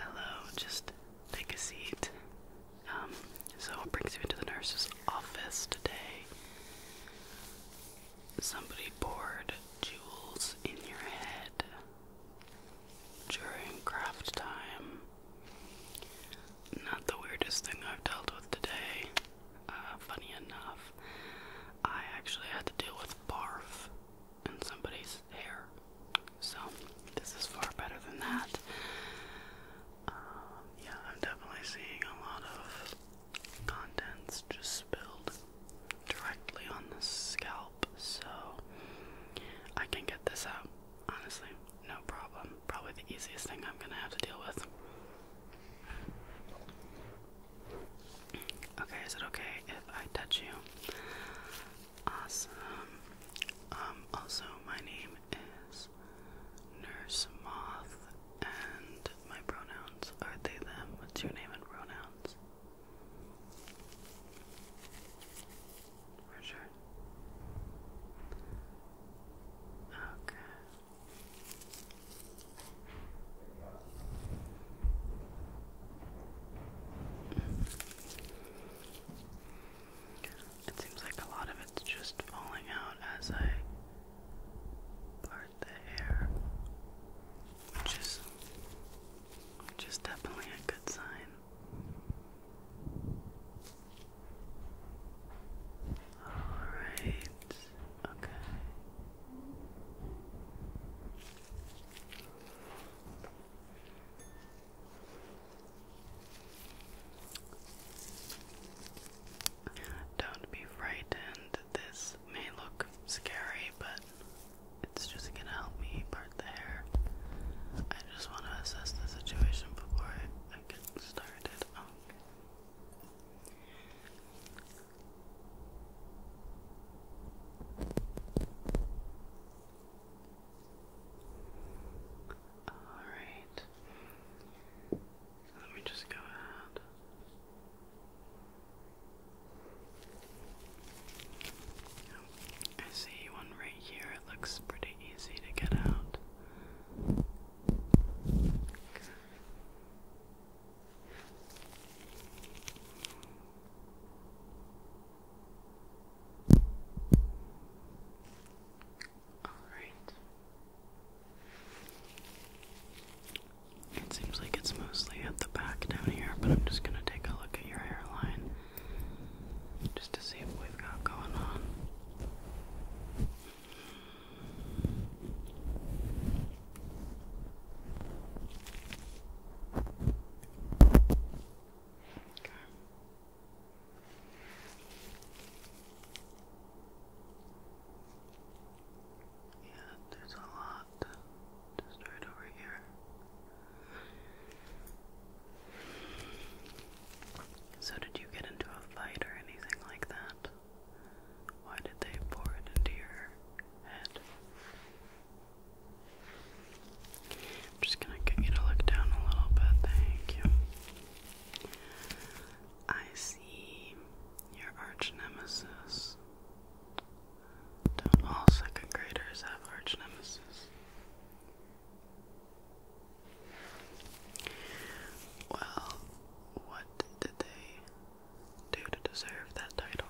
Hello, just take a seat. Um, so what brings you into the nurse's office today? Somebody poured jewels in your head during craft time. Not the weirdest thing I've dealt with today. Uh, funny enough, I actually had to deal with barf in somebody's hair. So this is far better than that. Um, yeah, I'm definitely seeing a lot of contents just spilled directly on the scalp, so I can get this out, honestly, no problem. Probably the easiest thing I'm gonna have to deal with. Okay, is it okay if I touch you? Awesome. Um, also, my name is Nurse Moth, and my pronouns are they, them. What's your name and pronouns? For sure. Okay. It seems like a lot of it's just falling out as I part the hair, which is, which is definitely a good sign. All right. Okay. Don't be frightened. This may look scary, but it's just gonna help me part the hair. I just want to assess the situation before I get started. Okay. Alright. Let me just go ahead. I see one right here. It looks pretty easy to get out. All right. It seems like it's mostly at the back down here, but I'm just going to take a look at your hairline just to see what we've got going on. Yeah, there's a lot just right over here. So, did you get into a fight or anything like that? Why did they pour it into your head? I'm just gonna get you to look down a little bit, thank you. I see your arch nemesis. Don't all second graders have arch nemesis? Well, what did they do to deserve that title.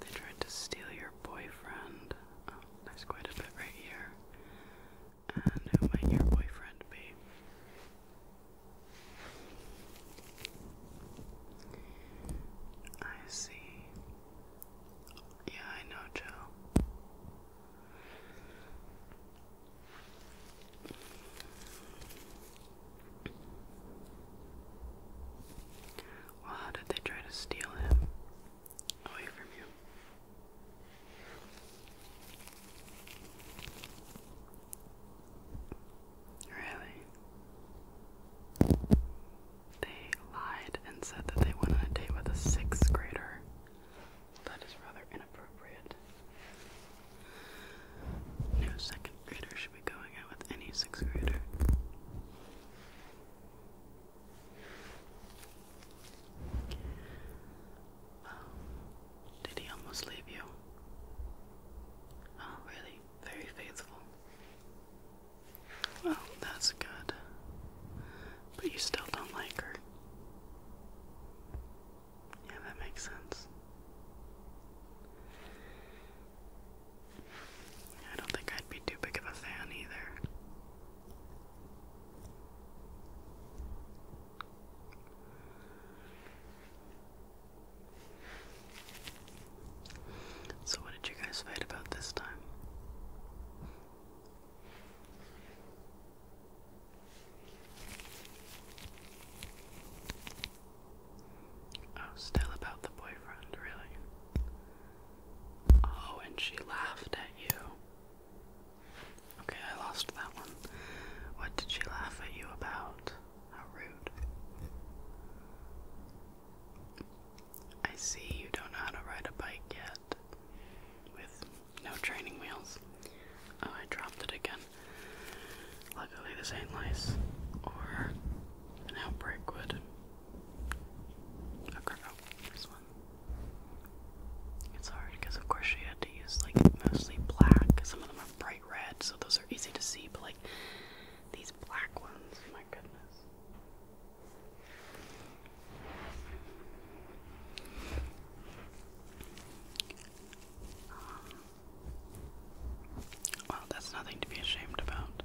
They tried to steal your boyfriend. Oh, there's quite a bit right here. And who might your boyfriend be? I see. Yeah, I know, Joe. Well, how did they try to steal him away from you? Really? They lied and said that they went on a date with a sixth grader. That is rather inappropriate. No second grader should be going out with any sixth grader. Oh, did he almost leave you? Oh, really? Very faithful. Well, that's good. But you still don't like her. Yeah, that makes sense. I don't think I'd be too big of a fan either. So, what did you guys fight about this time? Oh, still about the boyfriend, really? Oh, and she laughed at you. Okay, I lost that one. What did she laugh at you about? How rude. I see you don't know how to ride a bike yet. With no training wheels. Oh, I dropped it again. Luckily, this ain't lice or an outbreak would. Okay, oh, oh, this one. It's hard because, of course, she had to use like mostly black. Some of them are bright red, so those are easy to see, but like these black ones, my goodness. Um, well, that's nothing to be ashamed about.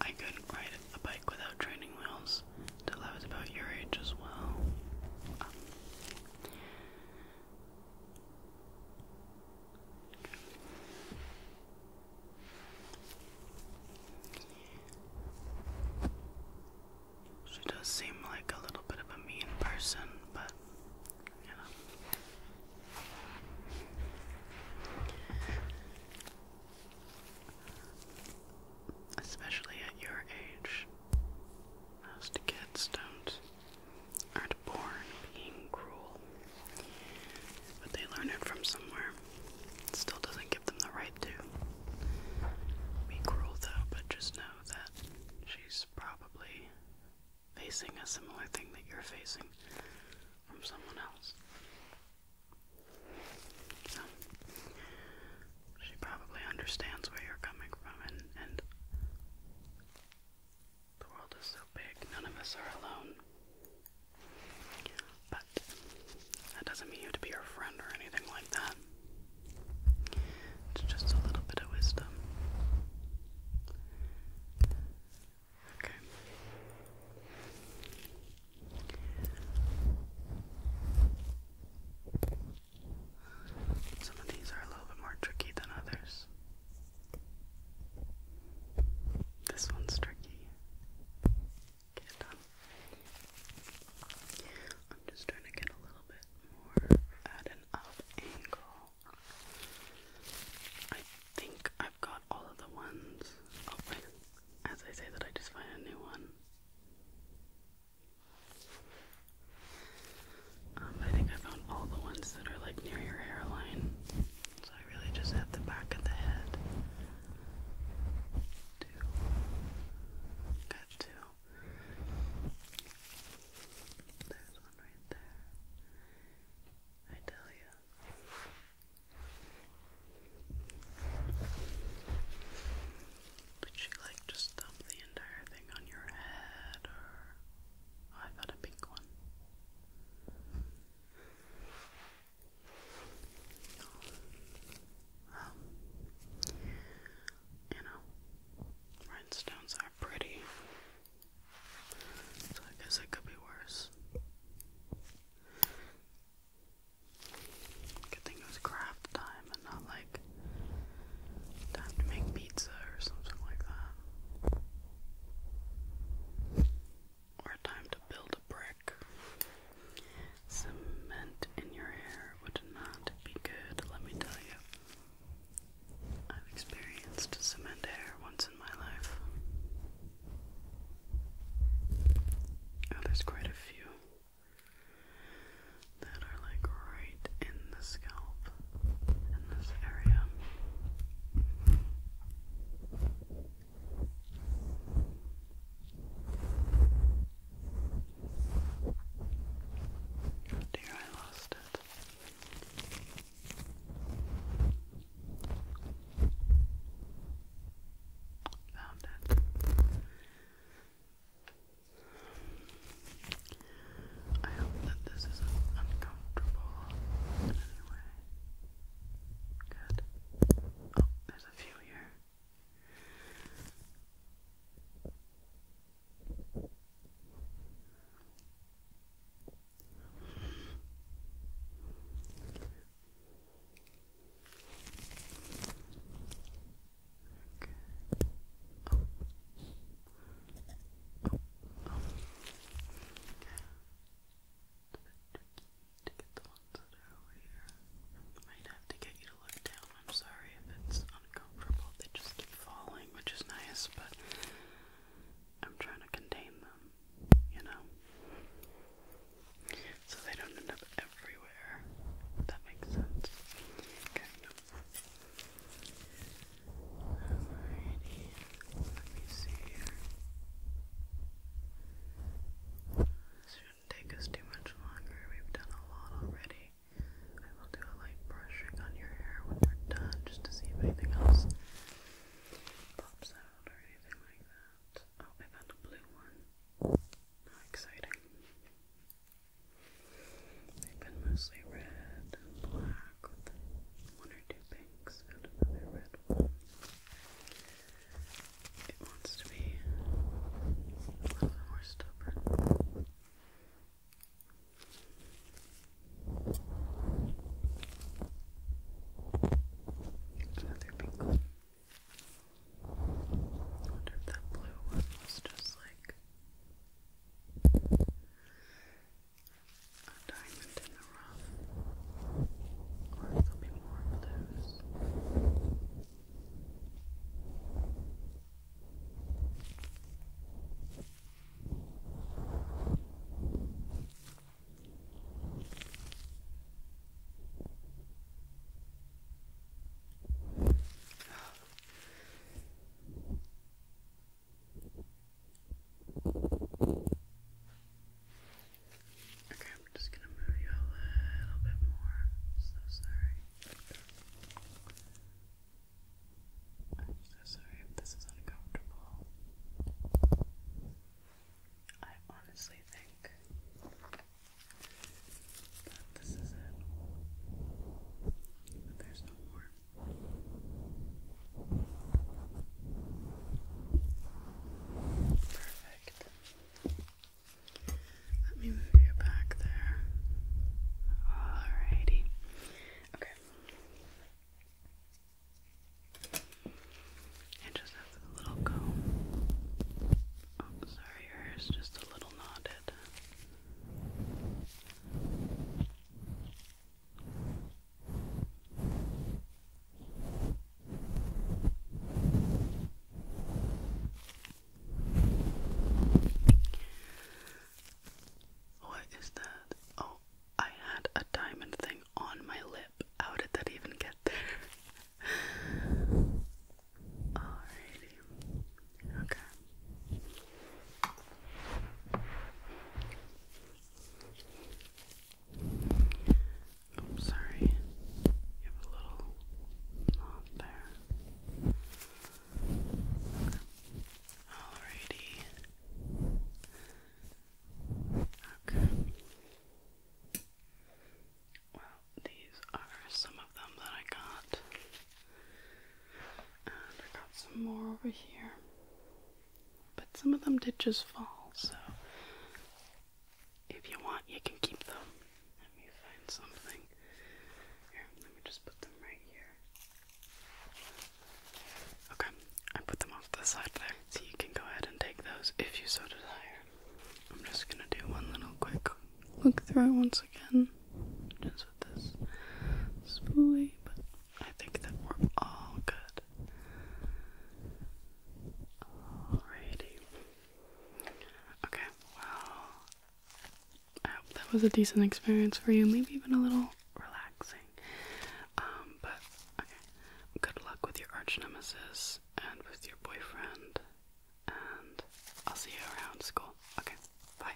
I couldn't ride a bike without training wheels till I was about your age as well. She does seem like a little bit of a mean person, but you know. Especially at your age, most kids don't aren't born being cruel, but they learn it from somewhere. still doesn't give them the right to be cruel, though. But just know that she's probably facing a similar thing that you're facing from someone else. So, she probably understands where you're coming from, and the world is so big, none of us are alone. But that doesn't mean you have to be her friend or anything like that. It's just a little bit of wisdom. Okay. Some of these are a little bit more tricky than others. This one's tricky. Get it done. I'm just trying to get a little bit more added I think I've got all of the ones. Oh, As I say that, I just find a new one. Um, I think I found all the ones that are like near your hairline. So I really just have the back of the head. Two. Got two. There's one right there. I tell you. Did she like just dump the entire thing on your head or oh, I thought a pink one. you know, um, Rhinestones are pretty. So I guess it could be worse. Good thing it was craft time and not like time to make pizza or something like that. Or time to build a brick. Cement in your hair would not be good, let me tell you. I've experienced cement hair once in my life. Oh, there's quite a few that are like right in the scalp in this area. Oh dear, I lost it. Found it. I hope that this isn't uncomfortable in any way. Good. Oh, there's a few here. Oh. Oh. It's a bit tricky to get the ones that are over here. Might have to get you look down. I'm sorry if it's uncomfortable. They just keep falling, which is nice, but I'm trying to contain them, you know? So they don't end up everywhere. that makes sense. Kind Alrighty. Let me see here. This shouldn't take us too much longer. We've done a lot already. I will do a light brushing on your hair when we're done just to see if anything else pops out or anything like that. Oh, I found a blue one. How exciting. They've been mostly red and black one or two pinks and another red It wants to be a little bit more stubborn. Another pink one. wonder if that blue one was just like a diamond in the rough. Or there'll be more of Okay, I'm just gonna move you a little bit more. so sorry. I'm so sorry if this is uncomfortable. I honestly think that this is it. But there's no more. Perfect. Let me move you back there. Alrighty. Okay. And just a little comb. Oh, sorry, your hair's just a little knotted. What is that? Oh, I had a diamond thing on my lip. How did that even get there? Alrighty. Okay. I'm sorry. You have a little knot there. Alrighty. Okay. Well, these are some of them that I got. And I got some more over here. But some of them did just fall, so if you want, you can keep them. Let me find something. Here, let me just put them right here. Okay, I put them off to the side there. So you can go ahead and take those if you so desire. I'm just gonna do one little quick look through it once again. Just with this spoolie, but I think that we're all good. Alrighty. Okay, well, that was a decent experience for you, maybe even a little relaxing. Um, but okay, good luck with your arch nemesis and with your boyfriend, and I'll see you around school. Okay, bye.